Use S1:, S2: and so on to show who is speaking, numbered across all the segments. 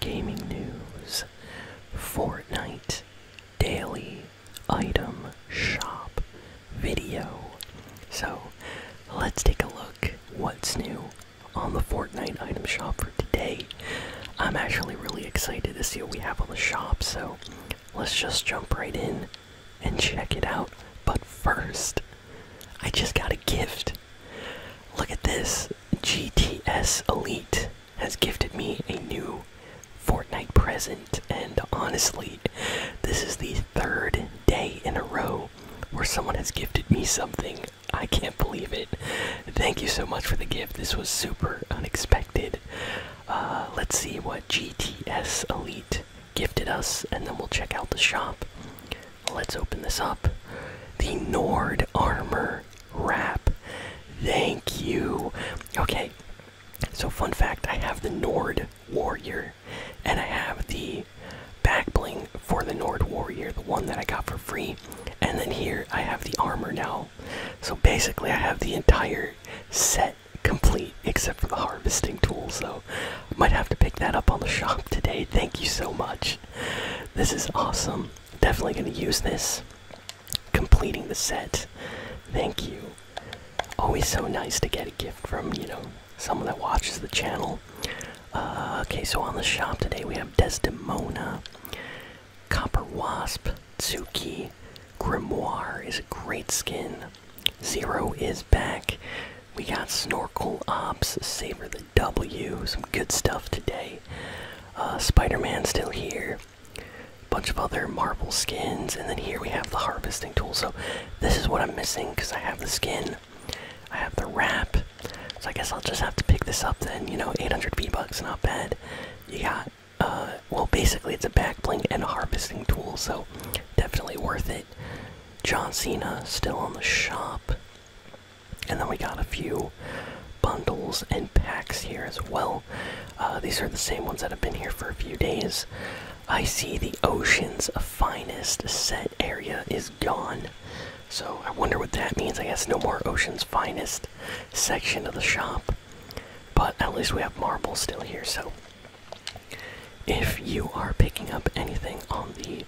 S1: gaming news, Fortnite daily item shop video. So let's take a look what's new on the Fortnite item shop for today. I'm actually really excited to see what we have on the shop, so let's just jump right in and check it out. But first, I just got a gift. Look at this. GTS Elite has gifted me a new Fortnite present, and honestly, this is the third day in a row where someone has gifted me something. I can't believe it. Thank you so much for the gift. This was super unexpected. Uh, let's see what GTS Elite gifted us, and then we'll check out the shop let's open this up. The Nord Armor Wrap. Thank you. Okay, so fun fact I have the Nord Warrior, and I have the back bling for the Nord Warrior, the one that I got for free. And then here I have the armor now. So basically, I have the entire set complete except for the harvesting tools, though. Might have to pick that up on the shop today. Thank you so much. This is awesome. Definitely gonna use this. Completing the set. Thank you. Always so nice to get a gift from, you know, someone that watches the channel. Uh, okay, so on the shop today we have Desdemona, Copper Wasp, Tsuki, Grimoire is a great skin. Zero is back. We got Snorkel Ops, Savor the W. Some good stuff today. Uh, Spider Man still here. A Bunch of other Marvel skins, and then here we have the harvesting tool. So this is what I'm missing because I have the skin, I have the wrap. So I guess I'll just have to pick this up then. You know, 800 V bucks, not bad. You got, uh, well, basically it's a back bling and a harvesting tool, so definitely worth it. John Cena still on the shop. And then we got a few bundles and packs here as well. Uh, these are the same ones that have been here for a few days. I see the Ocean's Finest set area is gone. So I wonder what that means. I guess no more Ocean's Finest section of the shop. But at least we have marble still here, so if you are picking up anything on the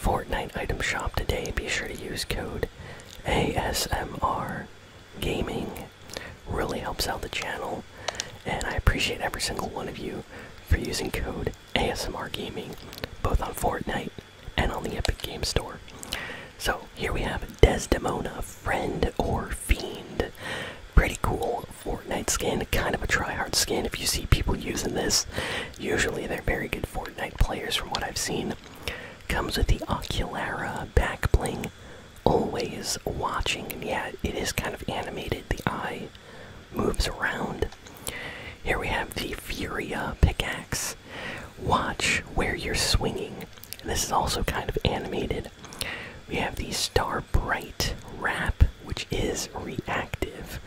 S1: Fortnite item shop today, be sure to use code ASMR Gaming. Really helps out the channel, and I appreciate every single one of you for using code ASMR Gaming, both on Fortnite and on the Epic Games Store. So here we have Desdemona, Friend or Fiend. Pretty cool Fortnite skin, kind of a tryhard skin. If you see people using this, usually they're very good Fortnite players from what I've seen. Comes with the Oculara back bling, always watching, and yeah, it is kind of animated. The eye moves around. Here we have the Furia pickaxe. Watch where you're swinging. This is also kind of animated. We have the Star Bright wrap which is reactive.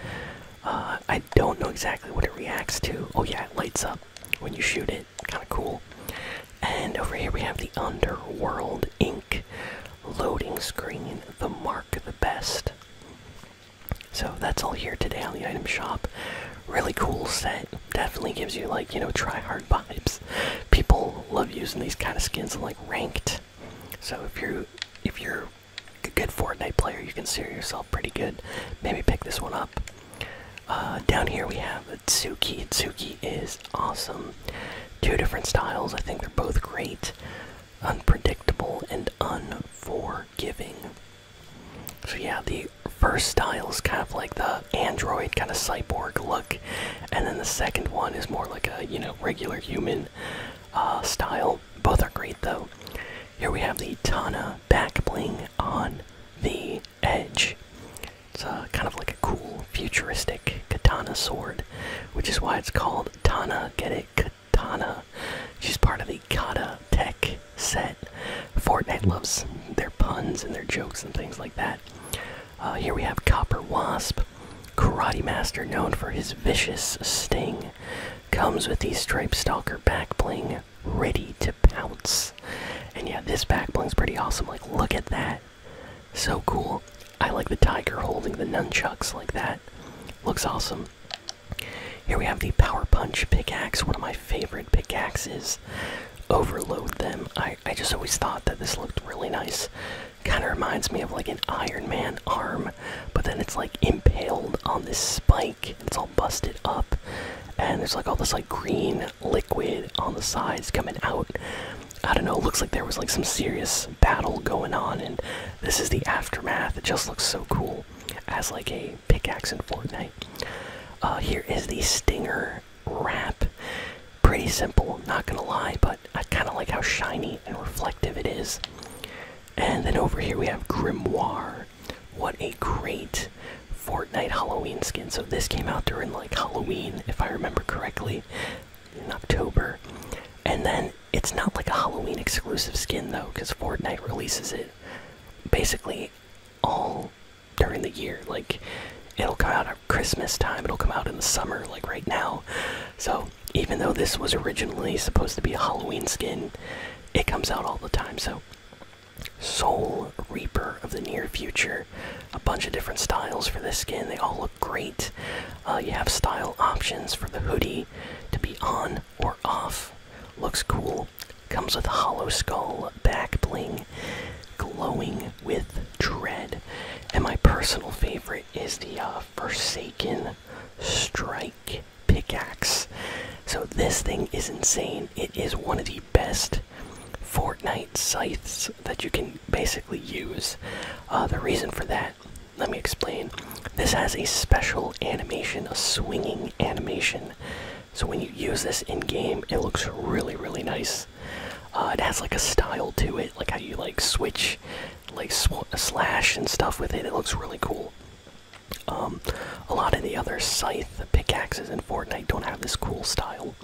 S1: Uh, I don't know exactly what it reacts to. Oh, yeah, it lights up when you shoot it. Kind of cool. And over here we have the Underworld Ink loading screen, the mark of the best. So that's all here today on the item shop. Really cool set. Definitely gives you, like, you know, try hard vibes. People love using these kind of skins in, like, ranked so if you're if you're a good Fortnite player, you consider yourself pretty good. Maybe pick this one up. Uh, down here we have Tsuki. Tsuki is awesome. Two different styles. I think they're both great. Unpredictable and unforgiving. So yeah, the first style is kind of like the android kind of cyborg look, and then the second one is more like a you know regular human uh, style. Both are great though. Here we have the Tana back bling on the edge. It's uh, kind of like a cool futuristic katana sword, which is why it's called Tana. Get it? Katana. She's part of the Kata Tech set. Fortnite loves their puns and their jokes and things like that. Uh, here we have Copper Wasp. Karate Master, known for his vicious sting, comes with the Stripe Stalker back bling ready to pounce. And yeah, this back bling's pretty awesome. Like, look at that. So cool. I like the tiger holding the nunchucks like that. Looks awesome. Here we have the Power Punch pickaxe, one of my favorite pickaxes. Overload them. I I, just always thought that this looked really nice. Kind of reminds me of like an Iron Man arm, but then it's like impaled on this spike. It's all busted up, and there's like all this like green liquid on the sides coming out. I don't know, looks like there was like some serious battle going on, and this is the aftermath. It just looks so cool as like a pickaxe in Fortnite. Uh, here is the Stinger wrap. Pretty simple, not gonna lie, but I kind of like how shiny and reflective it is. And then over here we have Grimoire. What a great Fortnite Halloween skin. So this came out during like Halloween, if I remember correctly, in October. And then it's not like a Halloween exclusive skin though, because Fortnite releases it basically all during the year. Like it'll come out Christmas time. It'll come out in the summer, like right now. So even though this was originally supposed to be a Halloween skin, it comes out all the time. So Soul Reaper of the near future. A bunch of different styles for this skin. They all look great. Uh, you have style options for the hoodie to be on or off. Looks cool. Comes with a hollow skull, back bling, glowing with Dread. And my personal favorite is the uh, Forsaken Strike pickaxe. So this thing is insane. It is one of the best Fortnite scythes that you can basically use. Uh, the reason for that, let me explain. This has a special animation, a swinging animation. So when you use this in game, it looks really, really nice. Uh, it has like a style to it, like how you like switch, like slash and stuff with it. It looks really cool. Um, a lot of the other scythe pickaxes in Fortnite don't have this cool style.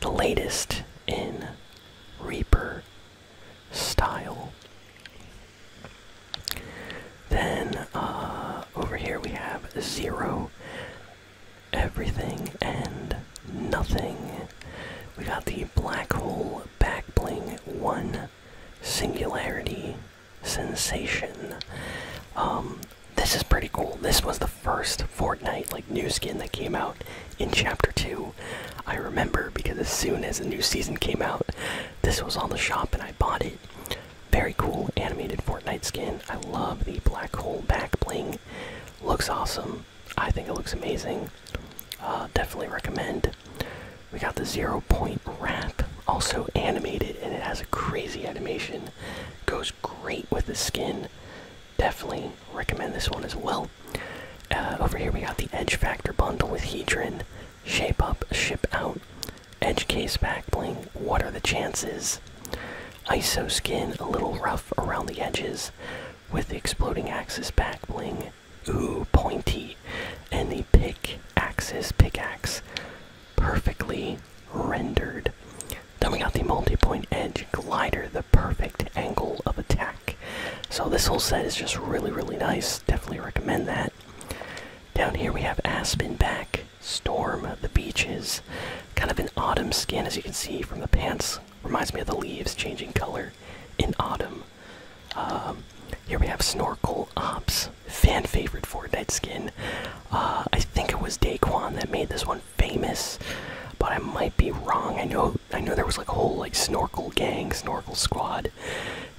S1: The latest in Reaper style. Then uh, over here we have Zero everything and nothing. We got the black hole back bling. one singularity sensation. Um, this is pretty cool. This was the first Fortnite like new skin that came out in chapter two. I remember because as soon as the new season came out, this was on the shop and I bought it. Very cool animated Fortnite skin. I love the black hole back bling looks awesome. I think it looks amazing. Uh, definitely recommend. We got the zero point wrap, also animated, and it has a crazy animation. Goes great with the skin. Definitely recommend this one as well. Uh, over here we got the Edge Factor bundle with Hedron, Shape Up, Ship Out, Edge Case Back Bling. What are the chances? ISO skin, a little rough around the edges, with the exploding axis back bling, ooh, pointy, and the pick axis pickaxe, perfectly rendered. Then we got the multi point edge glider, the perfect angle of attack. So this whole set is just really, really nice. Definitely recommend that. Down here we have Aspen back, storm the beaches. Kind of an autumn skin, as you can see from the pants. Reminds me of the leaves changing color in autumn. Um, here we have Snorkel Ops, fan favorite Fortnite skin. Uh, I think it was Daquan that made this one famous, but I might be wrong. I know I know there was like a whole like Snorkel gang, Snorkel squad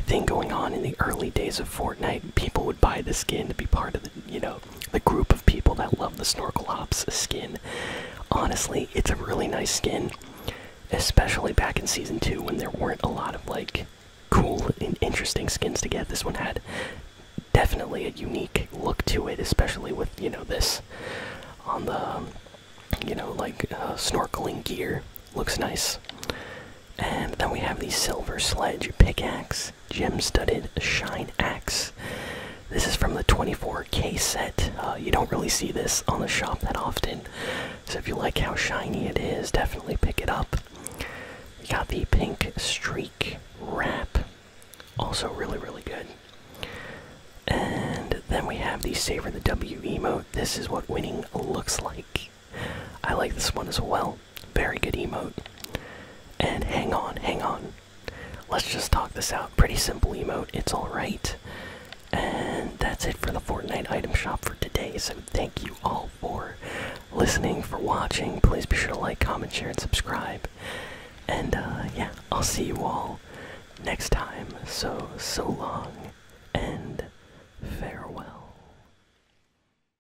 S1: thing going on in the early days of Fortnite. People would buy the skin to be part of the you know the group of people that love the Snorkel Hops skin. Honestly, it's a really nice skin, especially back in season two when there weren't a lot of like cool and interesting skins to get. This one had definitely a unique look to it, especially with you know this on the you know like uh, snorkeling gear looks nice. And then we have the silver sledge pickaxe. Gem Studded Shine Axe. This is from the 24K set. Uh, you don't really see this on the shop that often, so if you like how shiny it is, definitely pick it up. You got the Pink Streak Wrap, also really, really good. And then we have the Savor the W emote. This is what winning looks like. I like this one as well. Very good emote. And hang on, hang on. Let's just talk this out. Pretty simple emote, it's alright. And that's it for the Fortnite item shop for today. So thank you all for listening, for watching. Please be sure to like, comment, share, and subscribe. And uh, yeah, I'll see you all next time. So, so long and farewell.